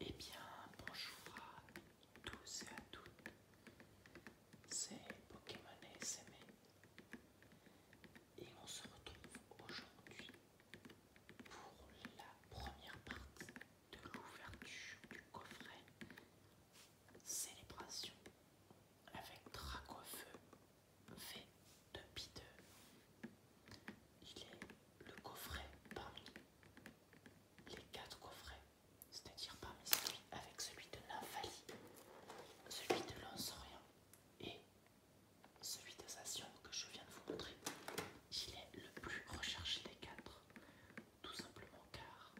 Et eh bien, bonjour à tous et à toutes, c'est Pokémon SMA et on se retrouve aujourd'hui pour la première partie de l'ouverture du coffret Célébration avec Dracofeu V de p Il est le coffret parmi les quatre coffrets, c'est-à-dire parmi celui avec celui de Nymphalie, celui de Lansorien et celui de Sation que je viens de vous montrer. Il est le plus recherché des quatre, tout simplement car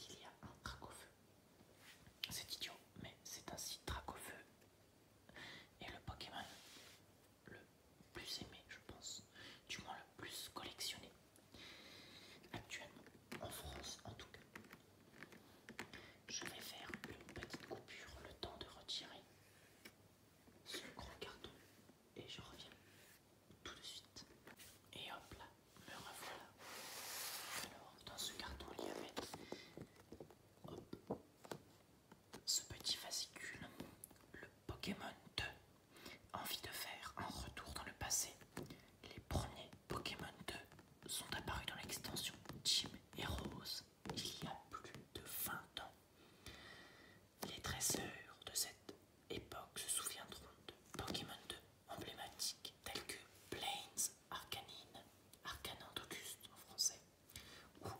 il y a un trac au feu. C'est idiot, mais c'est site trac au feu et le Pokémon le plus aimé, je pense, du moins le plus collectionné actuellement en France, en tout cas. Je vais faire une petite coupure, le temps de retirer ce gros carton et je reviens tout de suite. Et hop là, me revoilà. Alors, dans ce carton, il y avait hop, ce petit fascicule, le Pokémon 2, envie de faire un retour dans le passé. Les premiers Pokémon 2 sont apparus dans l'extension Jim et Rose il y a plus de 20 ans. Les trésors de cette époque se souviendront de Pokémon 2 emblématiques tels que Plains Arcanine, Arcanine d'Auguste en français, ou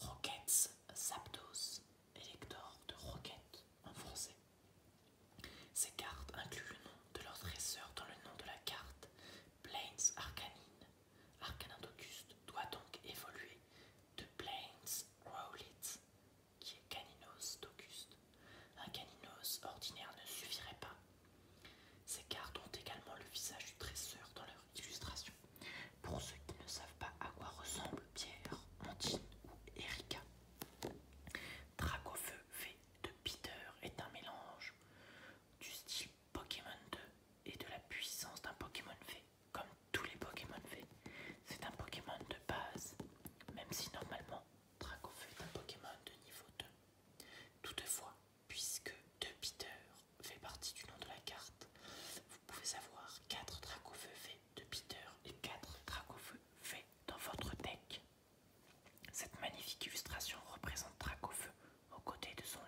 Rockets Zapdos, Elector de Rocket en français. Ces cartes incluent le nom de leur dresseur dans le nom de la carte. Plains Arcanine. Arcanin d'Auguste doit donc évoluer de Plains Rowlet, qui est Caninos d'Auguste. Un Caninos ordinaire ne suffirait pas ces cartes ont également le visage du tresseur dans leur illustration. Pour ceux qui ne savent pas à quoi ressemblent Pierre, Montine ou Erika, Dracofeu V de Peter est un mélange du style Pokémon 2 et de la puissance d'un Pokémon V. Comme tous les Pokémon V, c'est un Pokémon de base, même si normalement Dracofeu est un Pokémon de niveau 2. Toutefois, puisque 2 Peter fait partie du nom de la carte, vous pouvez avoir 4 dracofeu faits de Peter et 4 dracofeu faits dans votre deck. Cette magnifique illustration représente Dracofeu aux côtés de son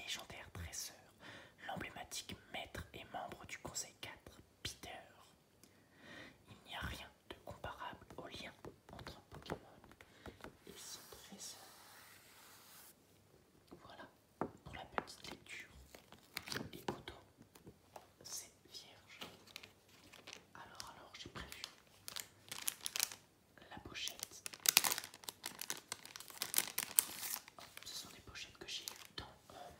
légendaire dresseur, l'emblématique maître et membre du Conseil 4, Peter. Il n'y a rien de comparable au lien entre un Pokémon et son dresseur. Voilà pour la petite lecture. Les cotons c'est vierge. Alors, alors, j'ai prévu la pochette. ce sont des pochettes que j'ai eues dans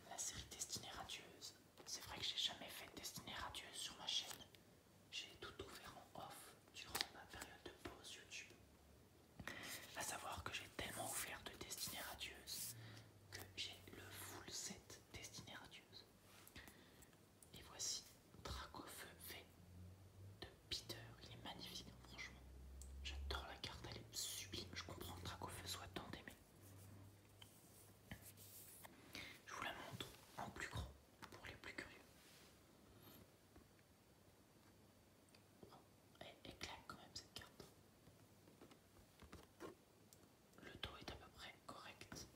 la série Destinée radieuse. C'est vrai que j'ai jamais fait Destinée radieuse sur ma chaîne j'ai tout ouvert en off durant ma période de pause YouTube. A savoir que j'ai tellement ouvert de Destinée Radieuse que j'ai le full set Destinée Radieuse. Et voici Dracofeu V de Peter. Il est magnifique, franchement. J'adore la carte, elle est sublime. Je comprends que Dracofeu soit tant aimé. Je vous la montre en plus gros pour les plus curieux. Oh, quand même cette carte. Le dos est à peu près correct.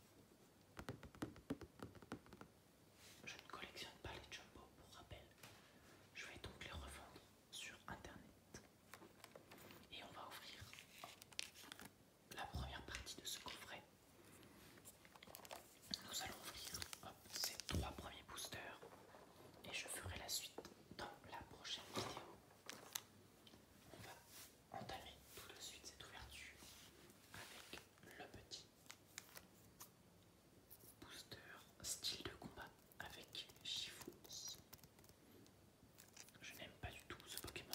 Je ne collectionne pas les jumbo pour rappel. Je vais donc les revendre sur internet. Et on va ouvrir la première partie de ce coffret. Nous allons ouvrir ces trois premiers boosters et je ferai la suite dans la prochaine vidéo. On va entamer tout de suite cette ouverture avec le petit booster style de combat avec Shifu. Je n'aime pas du tout ce Pokémon.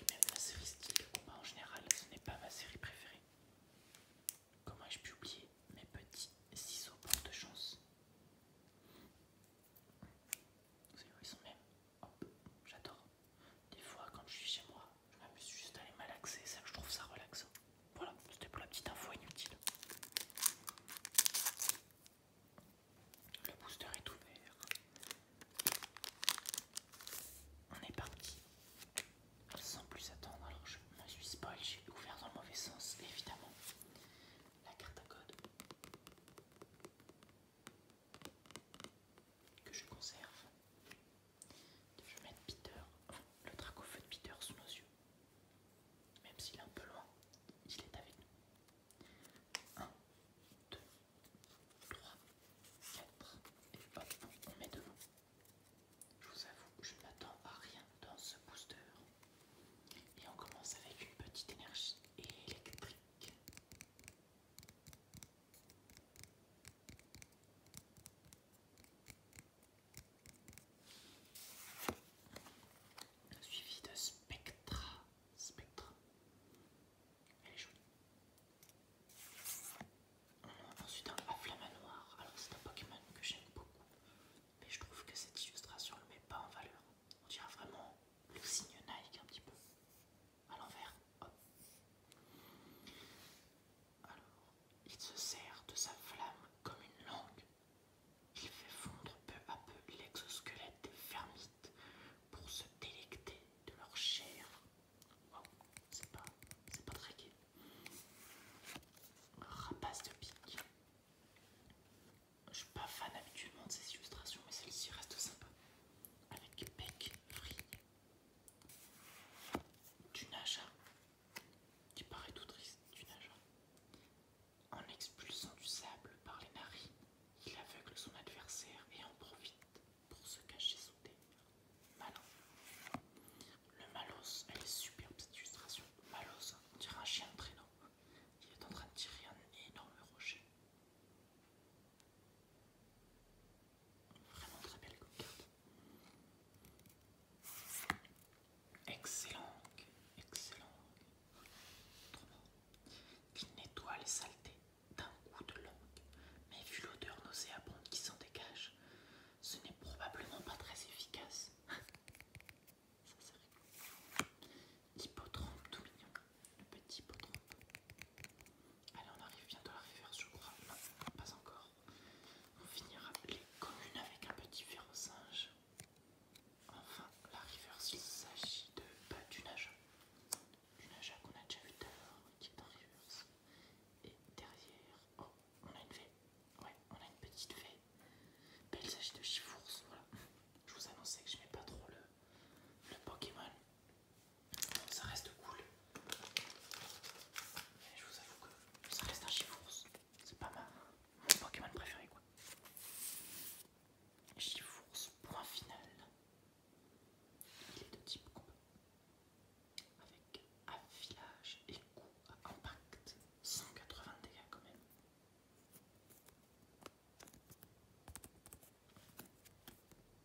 Et même la série style de combat en général, ce n'est pas ma série préférée. Comment ai-je pu oublier mes petits ciseaux porte-chance Vous savez ils sont même j'adore. Des fois, quand je suis chez moi, je m'amuse juste à les malaxer, ça, je trouve ça relaxant. Voilà, c'était pour la petite info inutile. Le booster est ouvert. On est parti. Sans plus attendre, alors je me suis spoil, j'ai ouvert dans le mauvais sens, évidemment. La carte à code que je conserve. Je vais mettre Peter, le feu de Peter sous nos yeux. Même s'il est un peu loin, il est avec nous. 1, 2, 3, 4, et hop, on met devant. Je vous avoue, je n'attends m'attends à rien dans ce booster. Et on commence avec une petite énergie électrique. Suivi de Spectra. Spectra. Elle est jolie. On ensuite un noir Alors c'est un Pokémon que j'aime beaucoup. Mais je trouve que cette illustration ne le met pas en valeur. On dirait vraiment le signe Nike un petit peu. À l'envers. Alors, il se sert de sa flamme comme une langue. Il fait fondre peu à peu l'exosquelette des fermites pour se délecter de leur chair Wow, c'est pas, très gai. Rapace de pique. Je suis pas fan habituellement de ces illustrations, mais celle-ci reste sympa. Avec bec, vrille, du nageur. qui paraît tout triste, du nageur. En expulsant du sable par les narines, il aveugle son adversaire et en profite pour se cacher sous des malins. Le malos elle est superbe cette illustration. Malos, on dirait un chien de prénom. Il est en train de tirer un énorme rocher. Vraiment très belle comme Excellent, excellent. Trop Il nettoie les saletés d'un coup de langue, mais vu l'odeur nauséabonde qui s'en dégage, ce n'est probablement pas très efficace. Ça, tout mignon, le petit hippotrampe. Allez, on arrive bientôt à la reverse, je crois. Non, pas encore. On finira les communes avec un petit singe. Enfin, la riverse il s'agit de pas une on a déjà vu d'ailleurs, qui est Et derrière, oh, on a une fée. Ouais, on a une petite fée. Mais il s'agit de Chifours, voilà. Je vous annonçais que je n'aimais pas trop le, le Pokémon. Donc ça reste cool. Mais je vous avoue que ça reste un Chifours. C'est pas ma, mon Pokémon préféré, quoi. Chifours, point final. Il est de type combat, avec affilage et coup à impact, 180 dégâts quand même.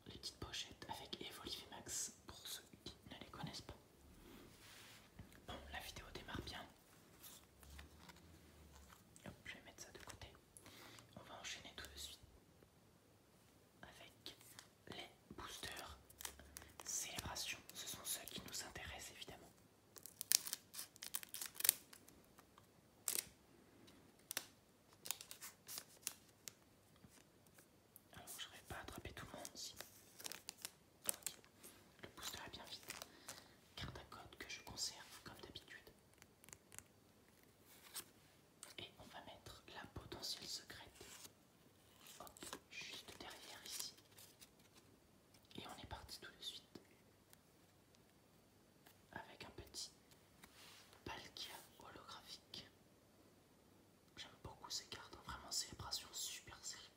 Les petites pochettes avec Evolive Max pour ceux qui ne les connaissent pas. Bon, la vidéo démarre bien. Hop, je vais mettre ça de côté. On va enchaîner tout de suite avec les boosters célébration. Ce sont ceux qui nous intéressent évidemment. Alors je vais pas attraper tout le monde Le booster est bien vite. Carte à code que je conserve comme d'habitude. Et on va mettre la potentielle secrète. juste derrière ici. Et on est parti tout de suite. Avec un petit Palkia holographique. J'aime beaucoup ces cartes, hein. vraiment célébration super serrée.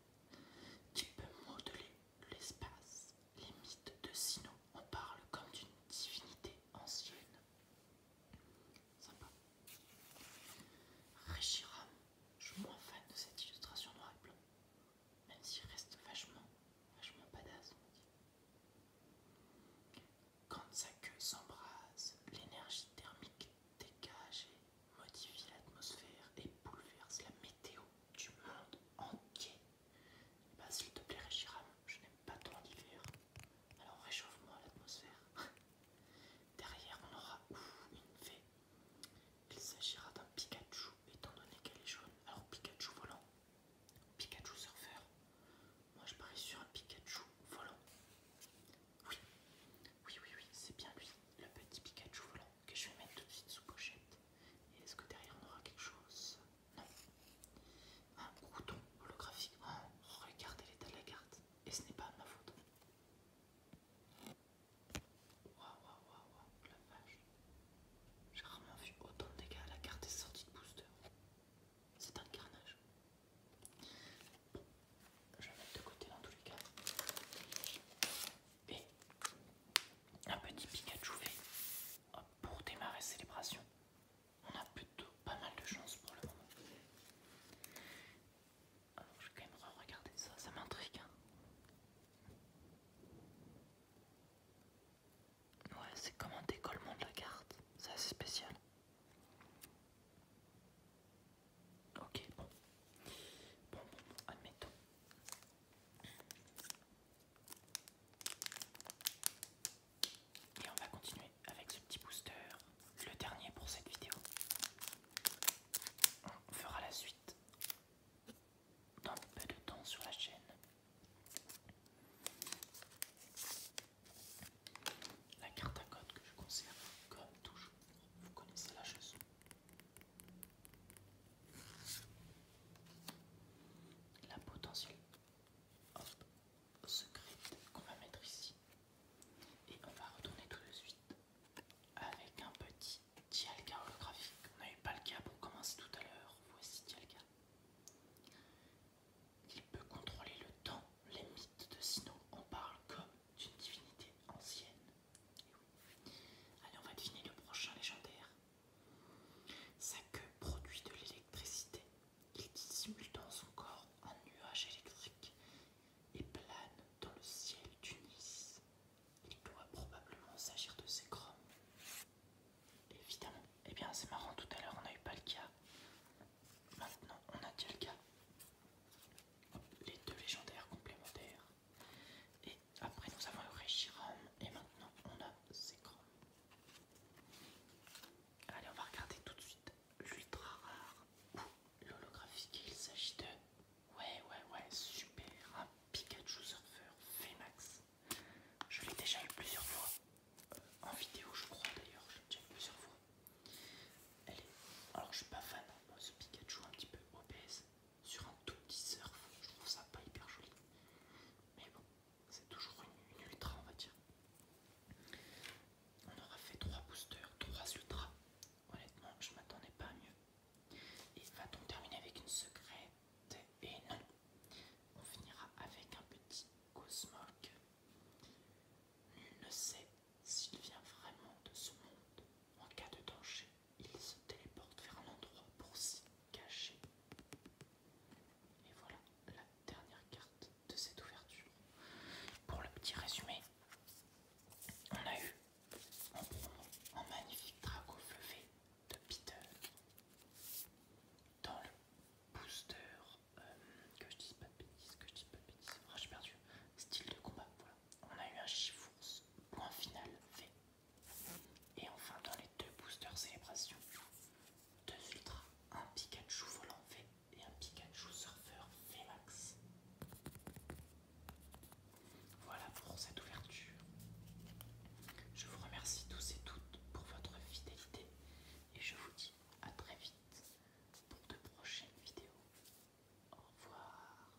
Qui peut modeler l'espace les mythes de Sino en parlent comme d'une divinité ancienne. Sympa. Réchiram, je suis moins fan de cette illustration noir et blanc, même s'il reste vachement, vachement badass, Quand sa queue s'embrase, l'énergie thermique dégage et modifie l'atmosphère et bouleverse la météo du monde entier. Bah, S'il te plaît, Régiram, je n'aime pas ton l'hiver. Alors réchauffe-moi l'atmosphère. Derrière, on aura une fée. Il s'agira d'un Pikachu, étant donné qu'elle est jaune. Alors Pikachu volant, Pikachu surfeur. Moi, je parie sur un Pikachu volant. Oui, oui, oui, oui, c'est bien lui, le petit Pikachu volant que je vais mettre tout de suite sous pochette. Et est-ce que derrière on aura quelque chose non. Un bouton holographique. Oh, regardez l'état de la carte. Et ce n'est pas ma faute. Waouh, waouh, waouh, la vache. J'ai rarement vu autant de dégâts la carte est sortie de booster. C'est un carnage. je vais mettre de côté dans tous les cas. Et un petit Pikachu V ah, pour démarrer célébration, on a plutôt pas mal de chance pour le moment. Alors, je vais quand même regarder ça, ça m'intrigue. Hein. Ouais, c'est comme un décollement de la carte, c'est assez spécial. Ok, Bon, bon, admettons. Et on va continuer avec ce petit booster, le dernier pour cette vidéo. On fera la suite dans peu de temps sur la chaîne. La carte à code que je conserve comme toujours, vous connaissez la chanson la potentielle secrète qu'on va mettre ici. Et on va retourner tout de suite avec un petit Dialga holographique. On n'avait pas le cas pour commencer tout à l'heure. Voici Dialga. Il peut contrôler le temps. Les mythes de Sinon. On parle comme d'une divinité ancienne. Allez, on va deviner le prochain légendaire. Sa queue produit de l'électricité. Il dissimule dans son corps un nuage électrique et plane dans le ciel d'Unis. Il doit probablement s'agir de ses crumbs. Évidemment. Eh bien, c'est marrant, tout à l'heure on n'a eu pas le cas. Maintenant, on a déjà le cas. Les deux légendaires complémentaires. Et après, nous avons le Régiram. Et maintenant, on a Zekrom. Allez, on va regarder tout de suite l'ultra rare ou l'holographique. Il s'agit de. Ouais, ouais, ouais, super. Un Pikachu Surfer VMAX. Je l'ai déjà eu plusieurs fois. Euh, en vidéo, je crois d'ailleurs. Je l'ai déjà eu plusieurs fois. Elle Alors, je suis pas fan. de ce Pikachu, un petit peu obèse sur un tout petit surf, je trouve ça pas hyper joli. Mais bon, c'est toujours une, ultra, on va dire. On aura fait 3 boosters, 3 ultras. Honnêtement, je m'attendais pas à mieux. Et va donc terminer avec une secrète Et non On finira avec un petit Cosmog. Nul ne sait s'il vient vraiment de ce monde en cas de danger il se téléporte vers un endroit pour s'y cacher. Et voilà la dernière carte de cette ouverture. Pour le petit résumé, on a eu un magnifique dragon fleuvé de Peter dans le booster euh, que je dis pas de que je dis pas de ah, j'ai perdu, style de combat, voilà. On a eu un chiffre point final fait. Et enfin, dans les deux boosters célébration, deux filtres, un Pikachu volant V et un Pikachu surfeur VMAX. Voilà pour cette ouverture. Je vous remercie tous et toutes pour votre fidélité et je vous dis à très vite pour de prochaines vidéos. Au revoir.